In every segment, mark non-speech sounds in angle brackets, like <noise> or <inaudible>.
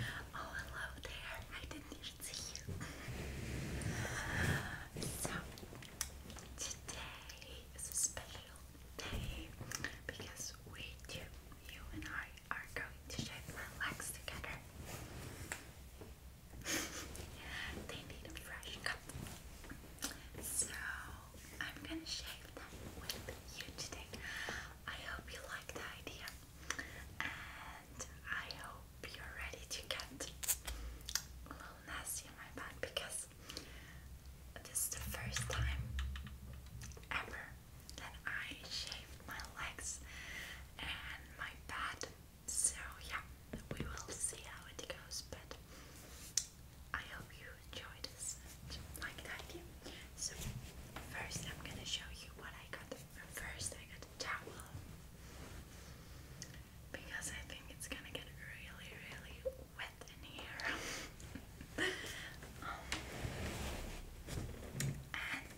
Oh, hello there. I didn't even see you. So, today is a special day because we you and I, are going to shave my legs together. <laughs> they need a fresh cup. So, I'm gonna shave them with you today. I hope you like the idea and I hope you're ready to get a little nasty in my bag because this is the first time ever that I shaved my legs and my bed. So, yeah, we will see how it goes, but I hope you enjoy this and like the so first I'm gonna show you what I got. First I got a towel because I think it's gonna get really really wet in here. <laughs> and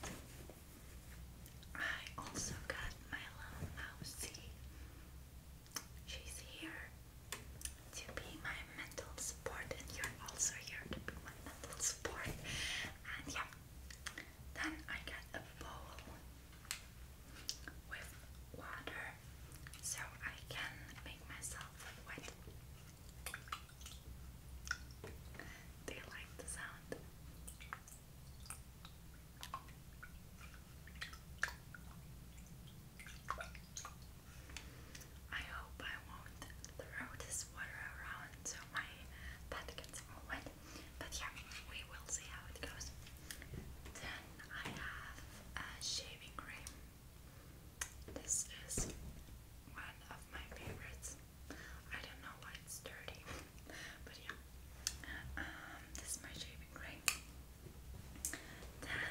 I also got my little mousey. She's here to be my mental support, and you're also here to be my mental support. And yeah, then I get a bowl with water so I can make myself wet. Do you like the sound? I hope I won't throw this water around so my pet gets all wet. But yeah, we will see how it goes. Then I have a shaving cream. This is one of my favorites. I don't know why it's dirty, but yeah. Um, this is my shaving cream. Then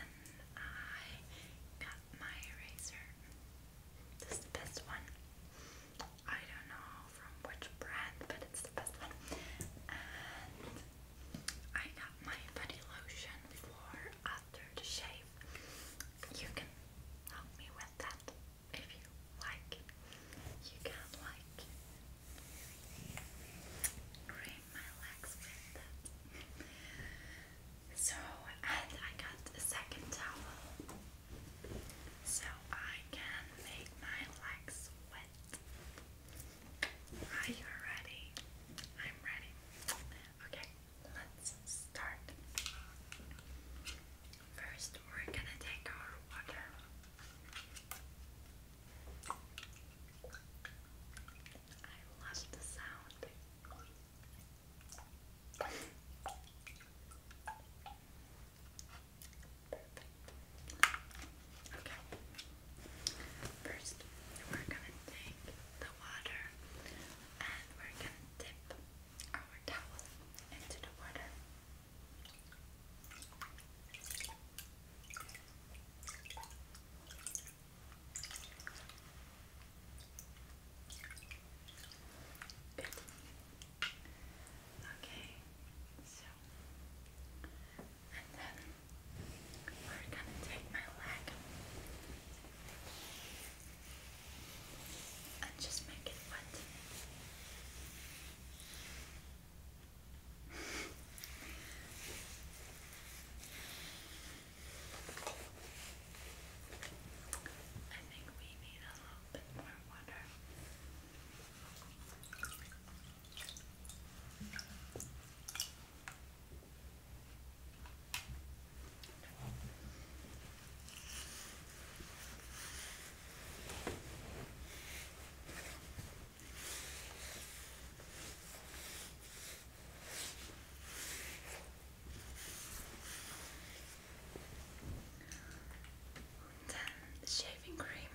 I got my eraser. is the best one. I don't know from which brand, but it's the best one. I got my body lotion for after the shave. You can help me with that if you like. You can like cream my legs with that. So, and I got a second towel so I can make my legs wet. Are you ready? I'm ready. Okay, let's start. First, we're gonna take our water. I love the sound. Okay. First, we're gonna take the water and we're gonna dip our towel into the water. Good. Okay, so and then we're gonna take my leg and just make it wet. <laughs> I think we need a little bit more water. Then the shaving cream.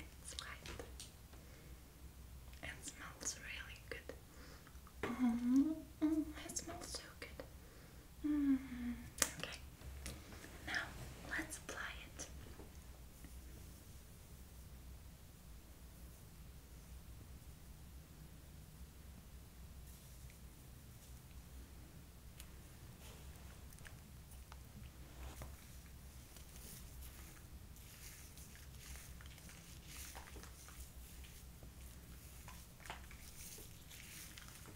It's light and smells really good. -hmm. it smells so good. -hmm. Okay. Now let's apply it.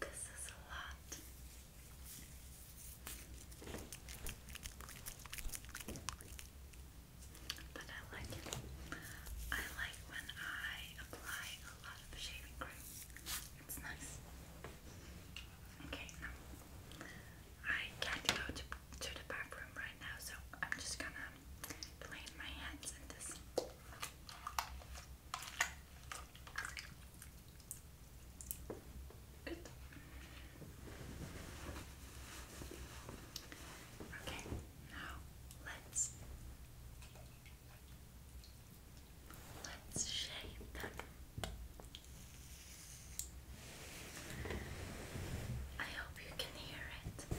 This is a lot. But I like it. I like when I apply a lot of shaving cream. It's nice. Okay, now I can't go to the bathroom right now, so I'm just gonna playing my hands in this. Okay, now let's let's shave I hope you can hear it.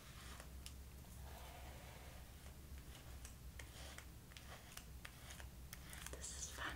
This is fun.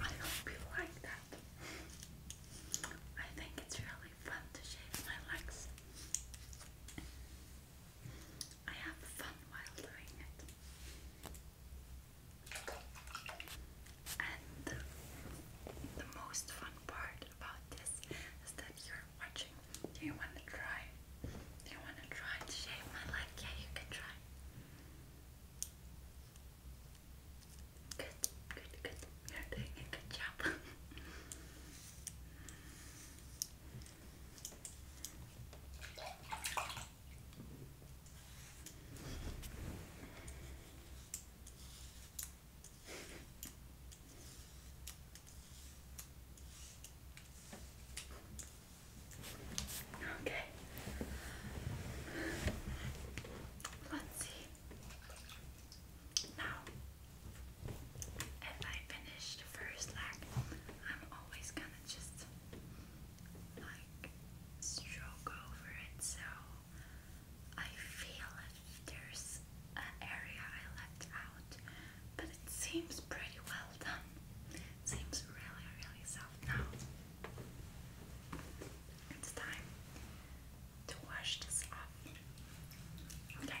I hope you like that. I think it's really fun to shave my legs. I have fun while doing it. And the, most fun part about this is that you're watching. Do you want to try? Do you want to try to shave my leg? Yeah, you can try. Good, good, good. You're doing a good job. <laughs> Okay. Let's see. Now, if I finish the first leg, I'm always gonna just like stroke over it, so I feel if there's an area I left out, but it seems pretty well done. seems really, really soft now. It's time to wash this off. Okay.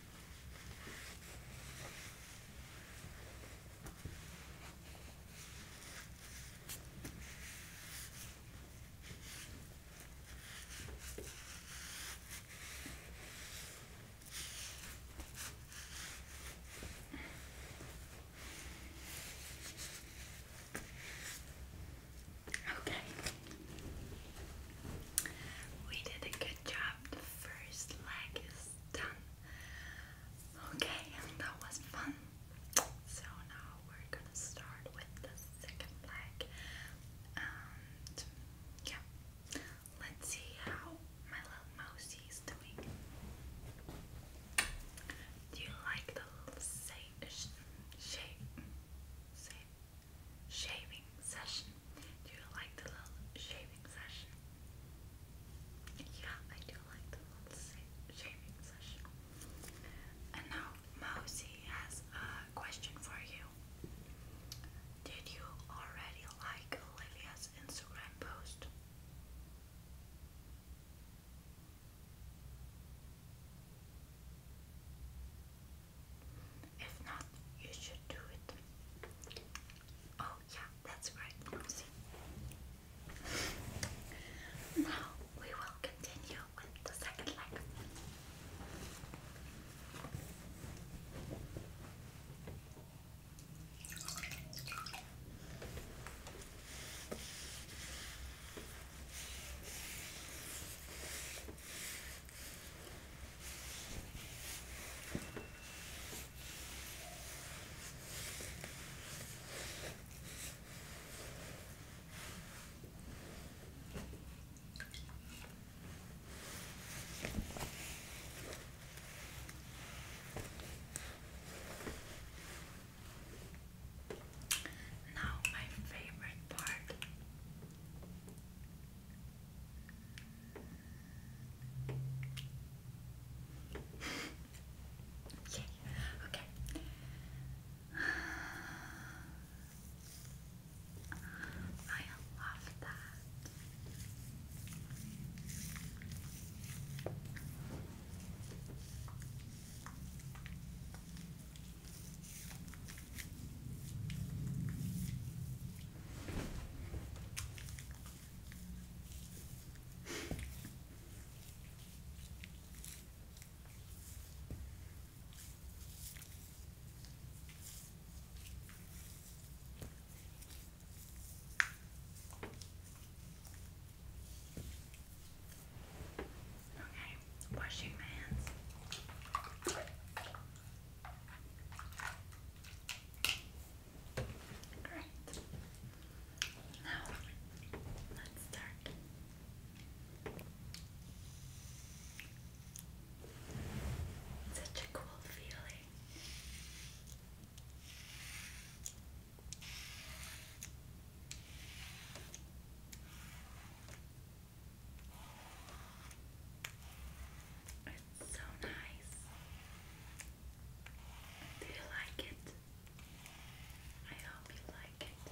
Okay. We did a good job the first leg is done. Okay, that was fun. So now we're gonna start with the second leg. And yeah, let's see how my little mousey is doing. Do you like the little say, sh shaving session? Do you like the little shaving session? Yeah, I do like the little shaving session. And now, Mosey has a question for you. Did you already like Olivia's Instagram post? If not, you should do it. Oh, yeah, that's right. Now we will continue with the second leg. Now, my favorite part Yay, okay. I love that. Okay, washing my hands. Great. Now, let's start. Such a cool feeling. It's so nice. Do you like it? I hope you like it.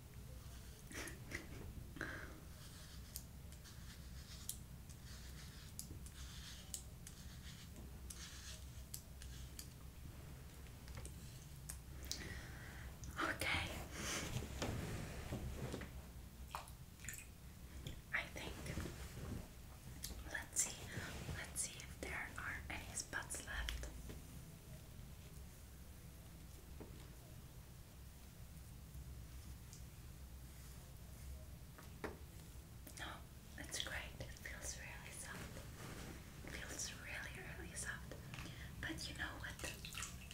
okay. I think let's see let's see if there are any spots left. No, oh, great. It feels really soft. feels really, really soft. But you know what the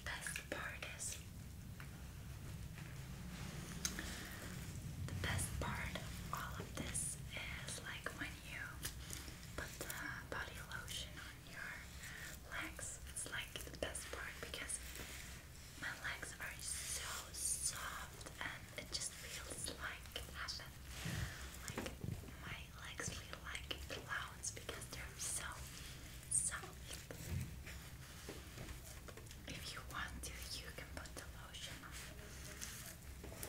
best part is? The best part of all of this is like when you put the body lotion your legs. It's like the best part because my legs are so soft and it just feels like Like my legs feel like clouds because they're so soft. If you want to, you can put the lotion on.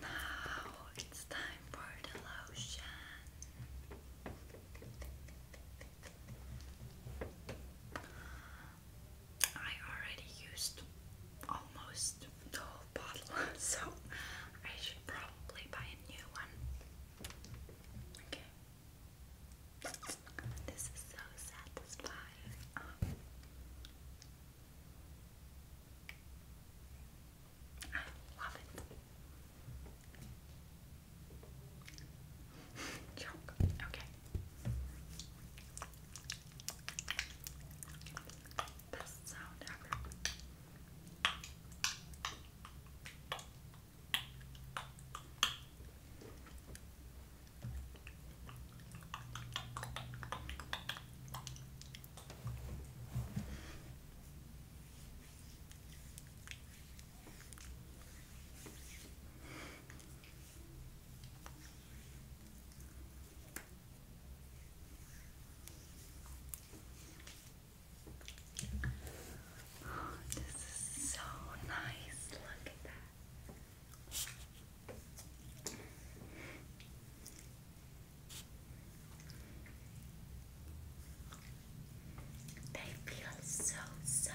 now it's time for the lotion. I already used almost the whole bottle, <laughs> so I should probably buy a new one. Okay. This is so satisfying. I love it. Okay. Best sound Oh, this is so nice. Look at that. They feel so soft.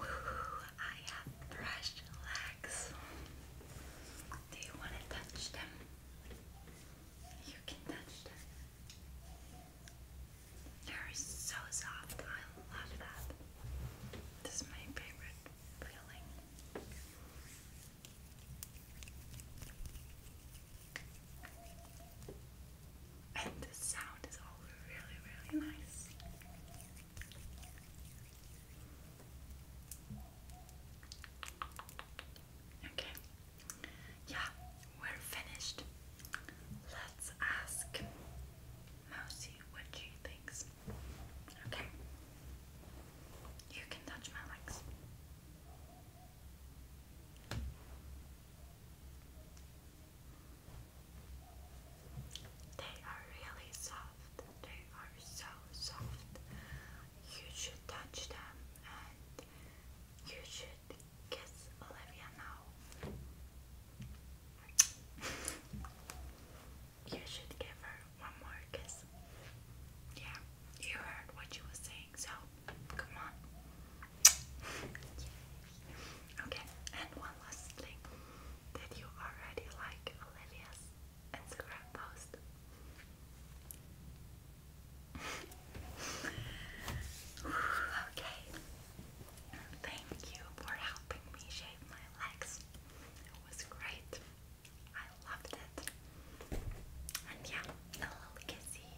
Woohoo, I have brushed legs. Do you want to touch them? You can touch them. They're so soft. I love that. This is my favorite feeling. And the sound is all really, really nice. Okay, yeah, we're finished. Let's ask Mousy what she thinks. Okay, you can touch my legs. They are really soft. They are so soft. You should touch them and you should kiss Olivia now. <laughs> you should give her one more kiss. Yeah, you heard what she was saying, so come on. <laughs> Okay, and one last thing. Did you already like Olivia's Instagram post? okay. Thank you for helping me shave my legs. It was great. I loved it. And yeah, a little kissy.